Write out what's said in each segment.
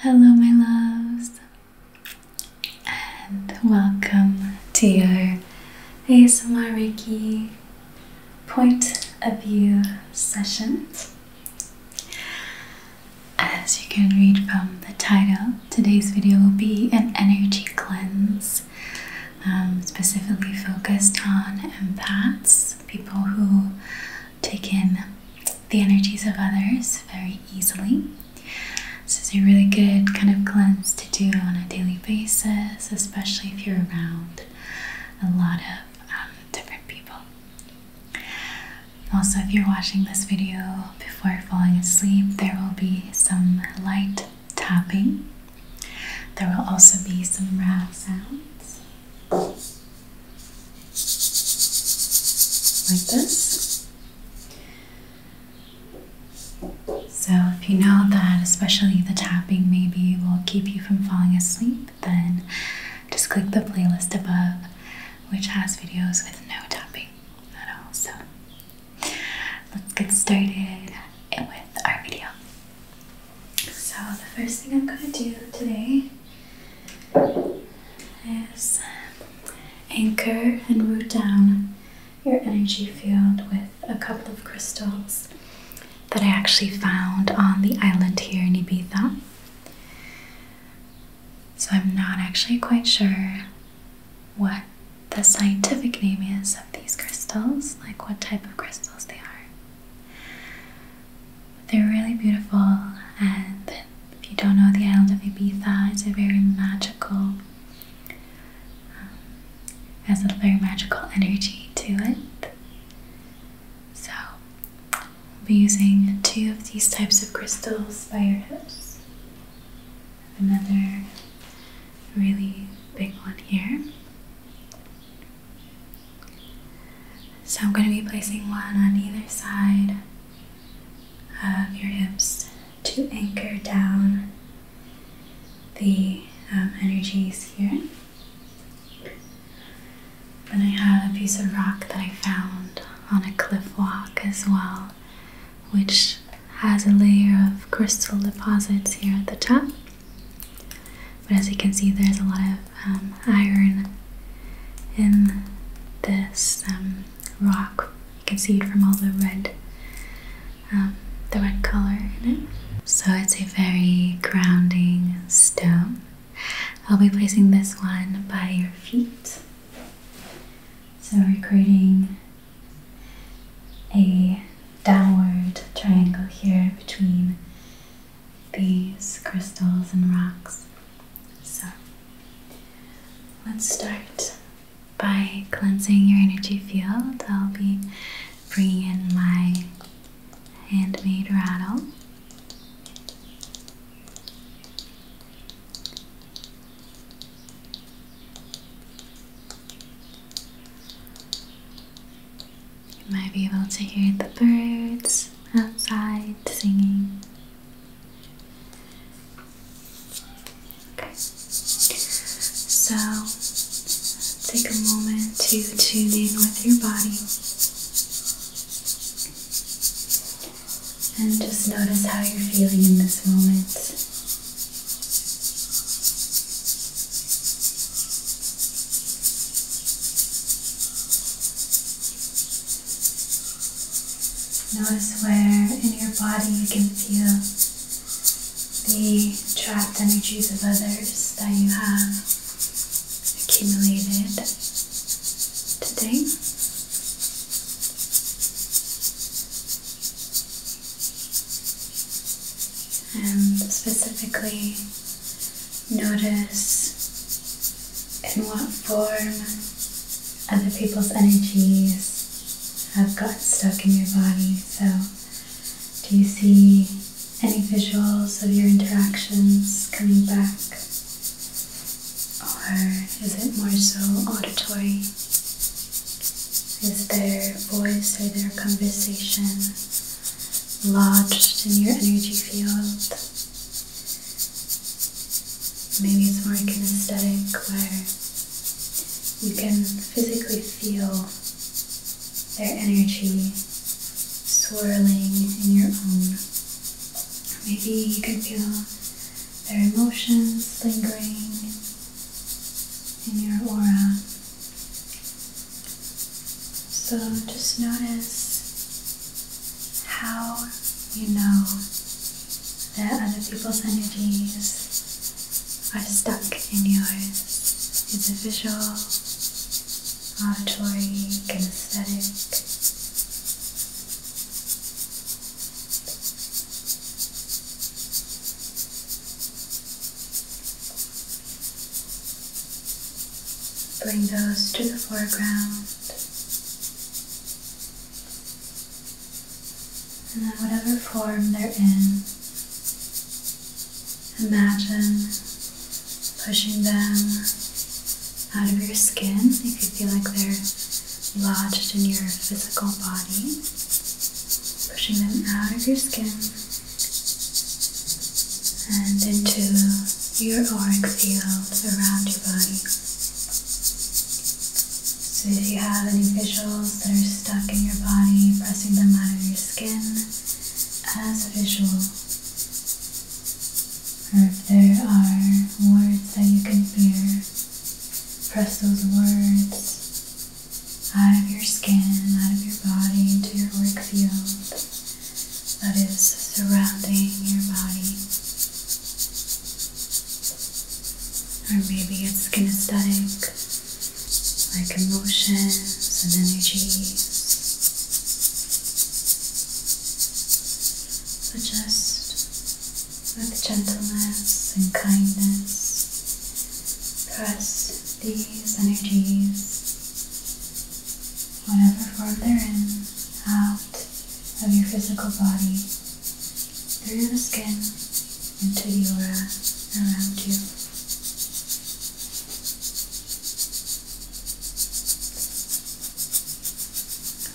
Hello, my loves, and welcome to your ASMR Reiki point of view session. As you can read from the title, today's video will be an energy cleanse, um, specifically focused on empaths, people who take in the energies of others very easily. This is a really good kind of cleanse to do on a daily basis, especially if you're around a lot of um, different people. Also, if you're watching this video before falling asleep, there will be some light tapping. There will also be some rap sounds like this. So, if you know that especially the tapping maybe will keep you from falling asleep, then just click the playlist above, which has videos with no tapping at all. So, let's get started with our video. So, the first thing I'm going to do today is anchor and root down your energy field with a couple of crystals that I actually found on the island here in Ibiza. So, I'm not actually quite sure what the scientific name is of these crystals, like what type of crystals they are. They're really beautiful, and if you don't know the island of Ibiza, it's a very magical, um, has a very magical energy to it. So, we'll be using two of these types of crystals by your hips. Another really big one here. So I'm going to be placing one on either side of your hips to anchor down the um, energies here. And I have a piece of rock that I found on a cliff walk as well, which has a layer of crystal deposits here at the top. But as you can see, there's a lot of um, iron in this um, rock. You can see it from all the red, um, the red color in it. So it's a very grounding stone. I'll be placing this one by your feet. So we're creating a downward triangle here between these crystals and rocks. So let's start by cleansing your energy field. I'll be bringing in my handmade rattle. You might be able to hear the birds outside singing. Okay. So take a moment to tune in with your body and just notice how you're feeling in this moment. Notice where in your body you can feel the trapped energies of others that you have accumulated today. And specifically, Notice in what form other people's energies have got stuck in your body. So, do you see any visuals of your interactions coming back? Or is it more so auditory? Is there voice or their conversation lodged in your energy field. Maybe it's more kinesthetic where you can physically feel their energy swirling in your own. Maybe you can feel their emotions lingering in your aura. So just notice how you know that other people's energies are stuck in yours. It's a visual, auditory, kinesthetic. Bring those to the foreground. And then, whatever form they're in, imagine pushing them out of your skin if you feel like they're lodged in your physical body. Pushing them out of your skin and into your auric field around your body. So if you have any visuals that are stuck in your body, pressing them out of your skin as a visual, or if there are words that you can hear, press those words out of your skin, out of your body, into your auric field that is surrounding your body. Or maybe it's kinesthetic, like emotions and energies. But just with gentleness and kindness, press these energies whatever form they're in, out of your physical body, through the skin, into the aura around you.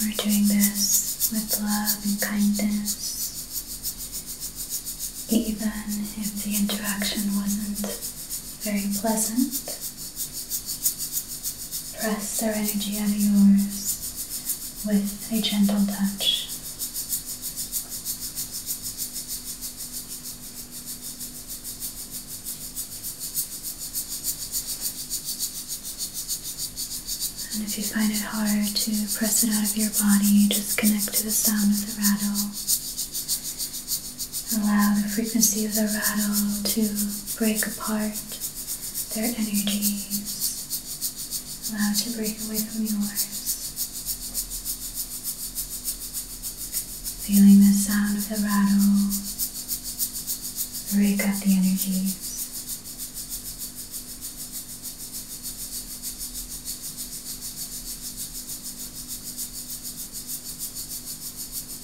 We're doing this with love and kindness, even if the interaction wasn't very pleasant. Press their energy out of yours with a gentle touch. And if you find it hard to press it out of your body, just connect to the sound of the rattle Allow the frequency of the rattle to break apart their energies. Allow it to break away from yours. Feeling the sound of the rattle break up the energies.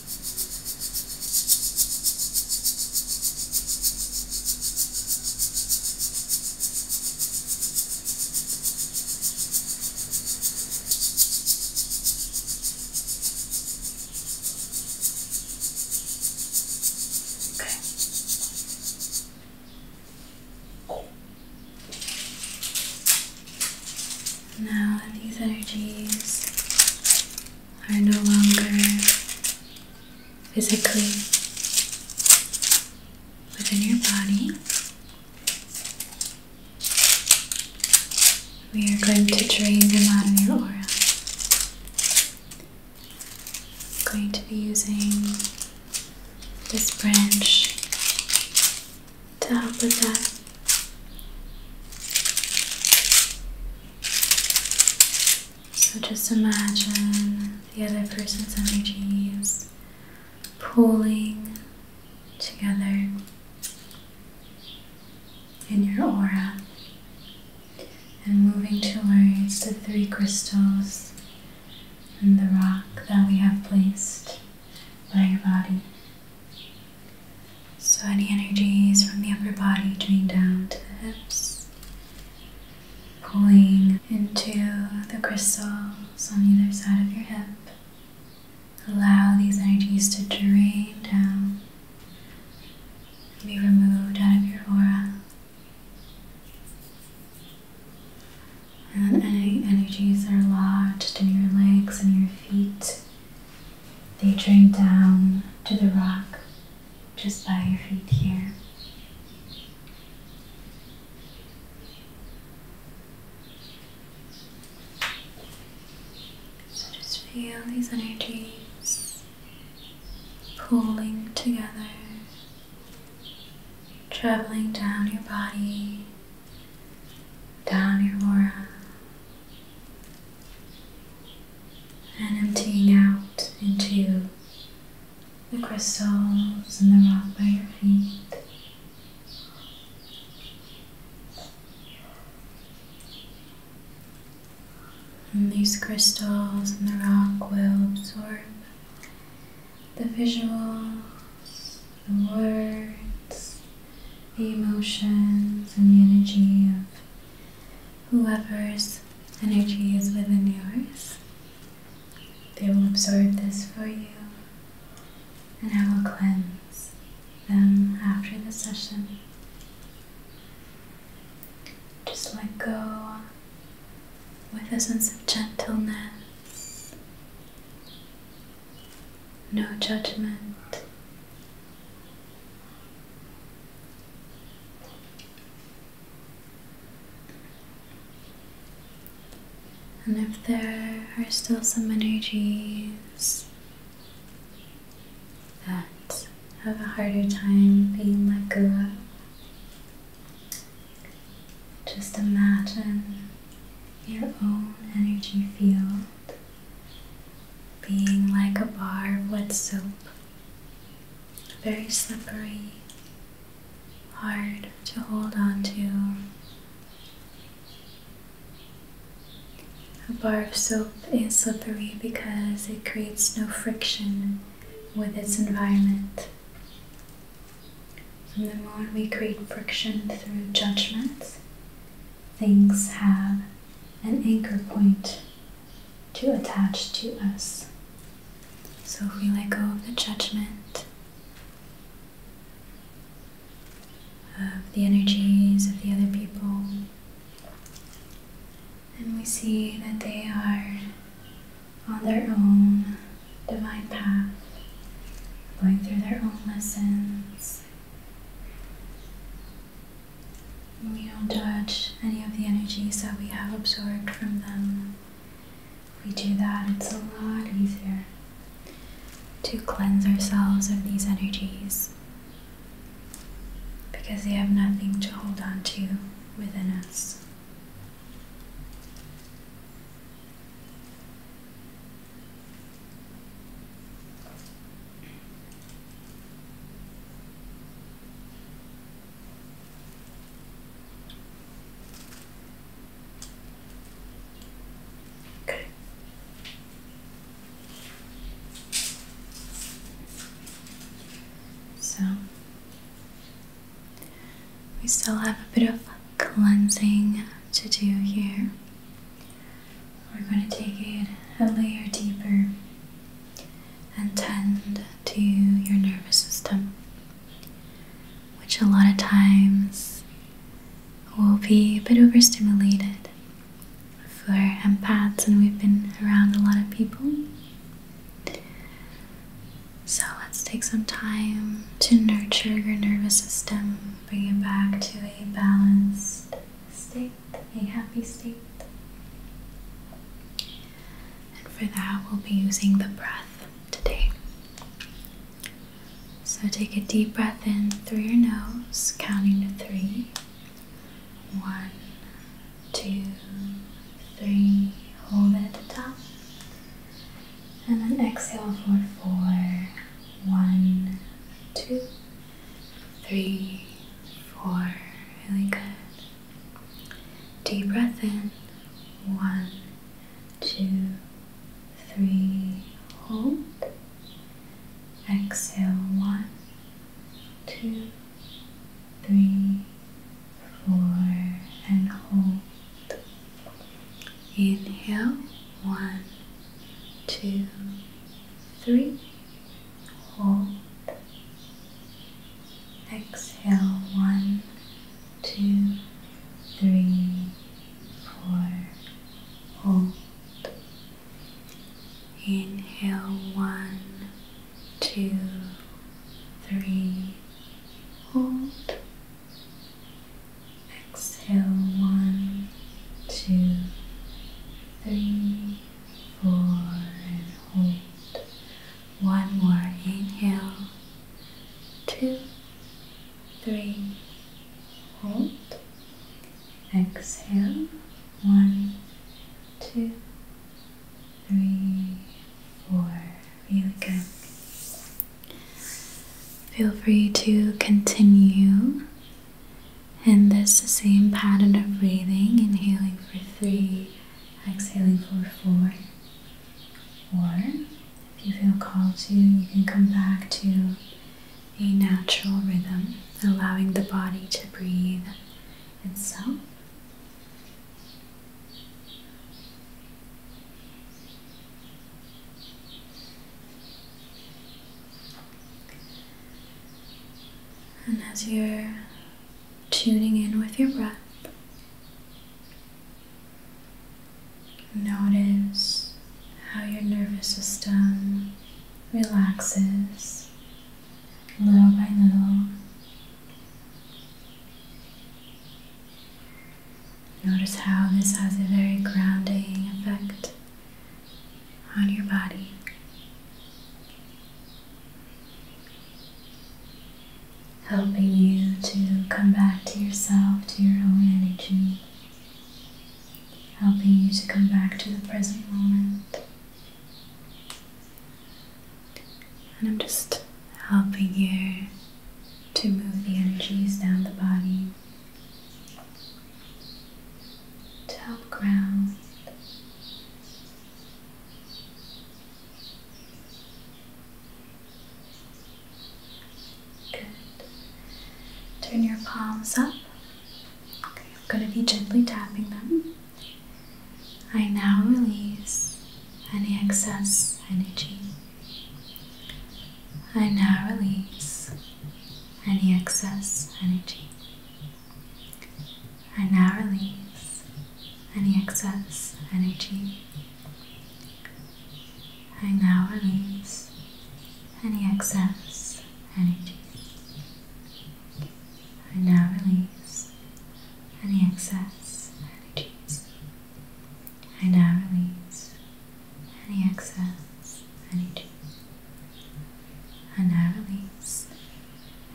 Okay. Now these energies are no longer physically within your body. We are going to drain the out of your aura. I'm going to be using this branch to help with that. So just imagine the other person's energies pooling together in your aura and moving towards the three crystals and the rock that we have placed by your body. So, any energies from the upper body drain down to the hips, pulling into the crystals on either side of your hip. Allow these energies to drain down, be removed out of your aura. And any energies that are lodged in your legs and your feet they drain down to the rock just by your feet here. So just feel these energies pulling together, traveling down your body, down your aura, and emptying out into the crystals and the rock by your feet. And these crystals and the rock will absorb the visuals, the words, the emotions, and the energy of whoever's energy is within yours. They will absorb this for you, and I will cleanse them after the session. Just let go with a sense of gentleness, no judgment, and if there are still some energies that have a harder time being let go of, just imagine your own energy field being like a bar of wet soap, very slippery, hard to hold on to. A bar of soap is slippery because it creates no friction with its environment. From the moment we create friction through judgments things have an anchor point to attach to us. So if we let go of the judgment, of the energies of the other people, and we see that they are on their own divine path, going through their own lessons. We don't judge any of the energies that we have absorbed from them. If we do that, it's a lot easier to cleanse ourselves of these energies because they have nothing to hold on to within us. So we still have a bit of cleansing to do here. We're going to take it a layer deeper and tend to your nervous system, which a lot of times will be a bit overstimulated for empaths, and we've been around a lot of people. So let's take some time to nurture your nervous system, bring it back to a balanced state a happy state. And for that, we'll be using the breath today. So take a deep breath in through your nose, counting to three. One, two, three. Hold it at the top. And then exhale for four. One, two, three, four. Really good. Deep breath in. One, two, three. Hold. Exhale. One, two, three, four, and hold. Inhale. One, two, three hold, exhale one, two, three, four, hold, inhale one, two, three, hold, exhale one, two, three four, hold. One more inhale, two, three, hold. Exhale, one, two, three, four. Really good. Feel free to continue and this same pattern of breathing, inhaling for three, exhaling for four. Four. if you feel called to, you can come back to a natural rhythm, allowing the body to breathe itself. And as you're tuning in with your breath, notice how your nervous system relaxes little by little. Notice how this has a very grounding effect on your body. Helping you to come back to yourself, to your own energy. Helping you to come back to the present moment. And I'm just helping you to move the energies down the body top ground. Good. Turn your palms up. Okay, I'm going to be gently tapping them. I now release any excess energy. I now release any excess energy. I now release any excess energy. I now release any excess energy. I now release any excess energies. I now release any excess any juice, and I release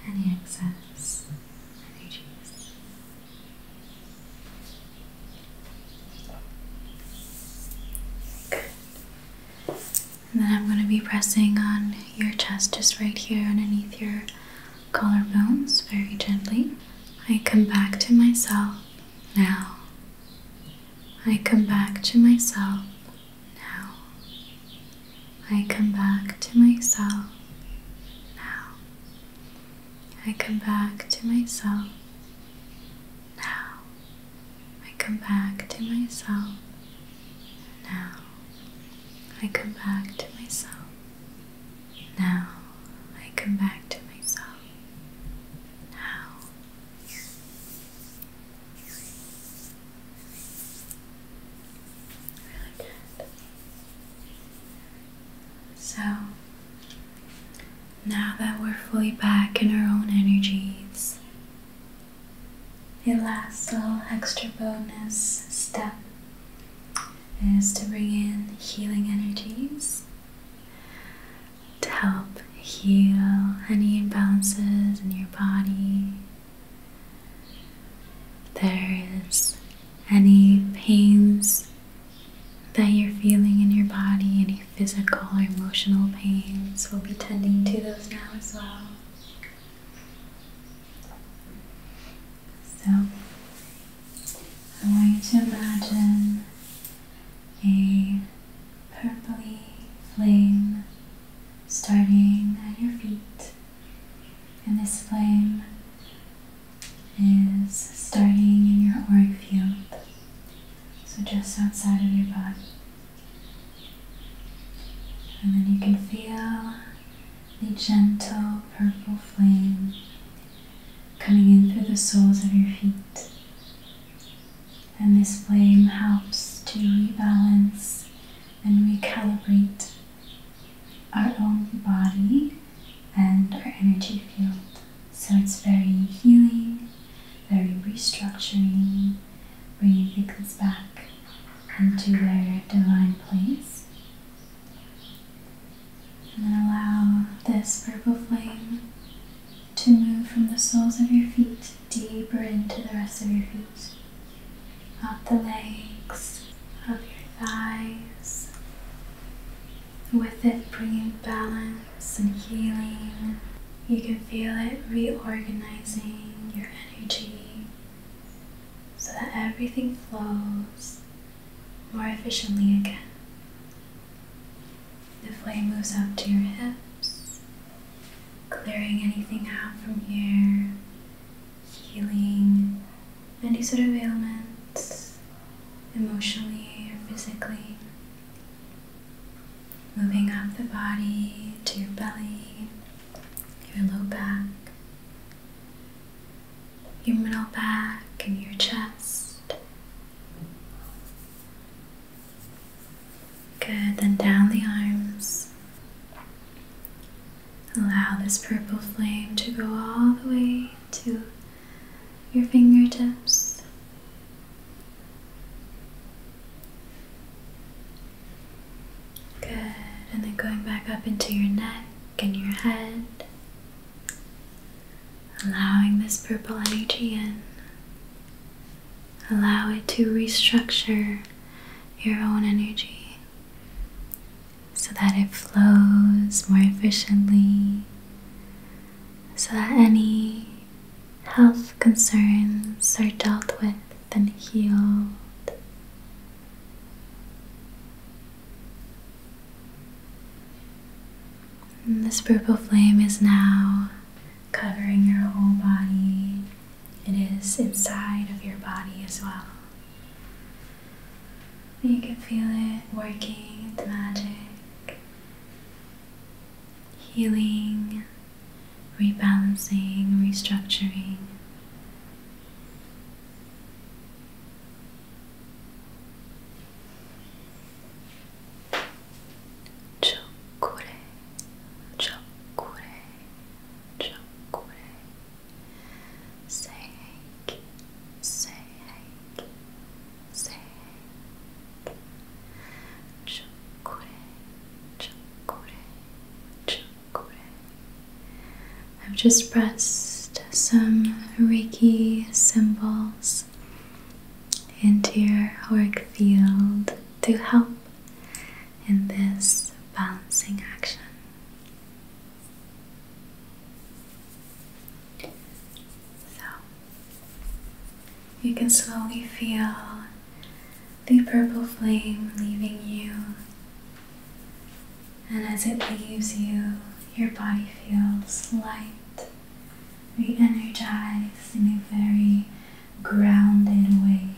any excess any juice. And then I'm going to be pressing on your chest just right here underneath your collarbones very gently. I come back to myself now. I come back to myself now. I come back to myself now. I come back to myself now. I come back to myself now. I come back to myself now. I come back to myself now. So, now that we're fully back in our own energies, the last little extra bonus step is to bring in healing energies to help heal any imbalances in your body there is any pains that you're feeling in your body, any physical or emotional pains, we'll be tending to those now as well. So, I want you to imagine a purpley flame starting at your feet. And this flame is starting in your auric field, so just outside of your body. And then you can feel the gentle purple flame coming in through the soles of your feet and this flame helps to rebalance and recalibrate our own body and our energy field. So it's very healing, very restructuring, bringing things back into their divine place. And then allow this purple flame to move from the soles of your feet deeper into the rest of your feet of the legs, of your thighs, with it bringing balance and healing. You can feel it reorganizing your energy so that everything flows more efficiently again. The flame moves up to your hips, clearing anything out from here, healing any sort of ailments, emotionally or physically. Moving up the body to your belly, your low back, your middle back, and your chest. Good, then down the arms. Allow this purple flame to go all the way to your fingertips. Good, and then going back up into your neck and your head, allowing this purple energy in. Allow it to restructure your own energy so that it flows more efficiently, so that any health concerns are dealt with and healed. this purple flame is now covering your whole body. It is inside of your body as well. You can feel it working the magic, healing, rebalancing, restructuring. Chocolate. Chokure, chokure. Say say say hake. Chokure, chokure, I've just pressed some Reiki symbols into your auric field to help in this balancing action. So, you can slowly feel the purple flame leaving you, and as it leaves you, your body feels light, re energized in a very grounded way.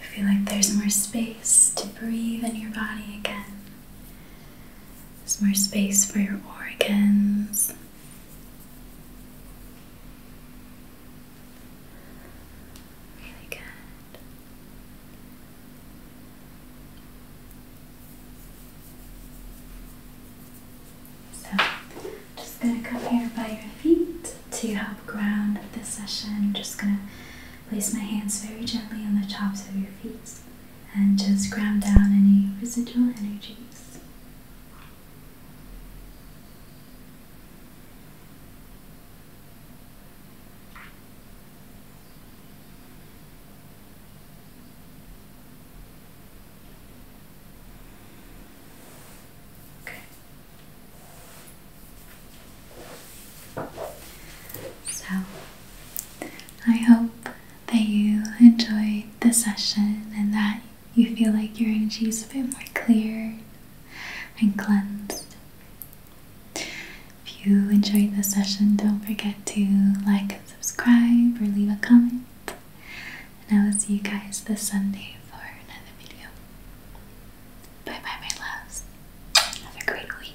You feel like there's more space to breathe in your body again. There's more space for your organs. Really good. So, just going to come here by your feet to help ground this session. Just going to place my hands very gently on the tops of your feet and just ground down any residual energies. So, I hope that you enjoyed the session and that you feel like your energy is a bit more cleared and cleansed. If you enjoyed the session, don't forget to like and subscribe or leave a comment. And I will see you guys this Sunday for another video. Bye bye, my loves. Have a great week.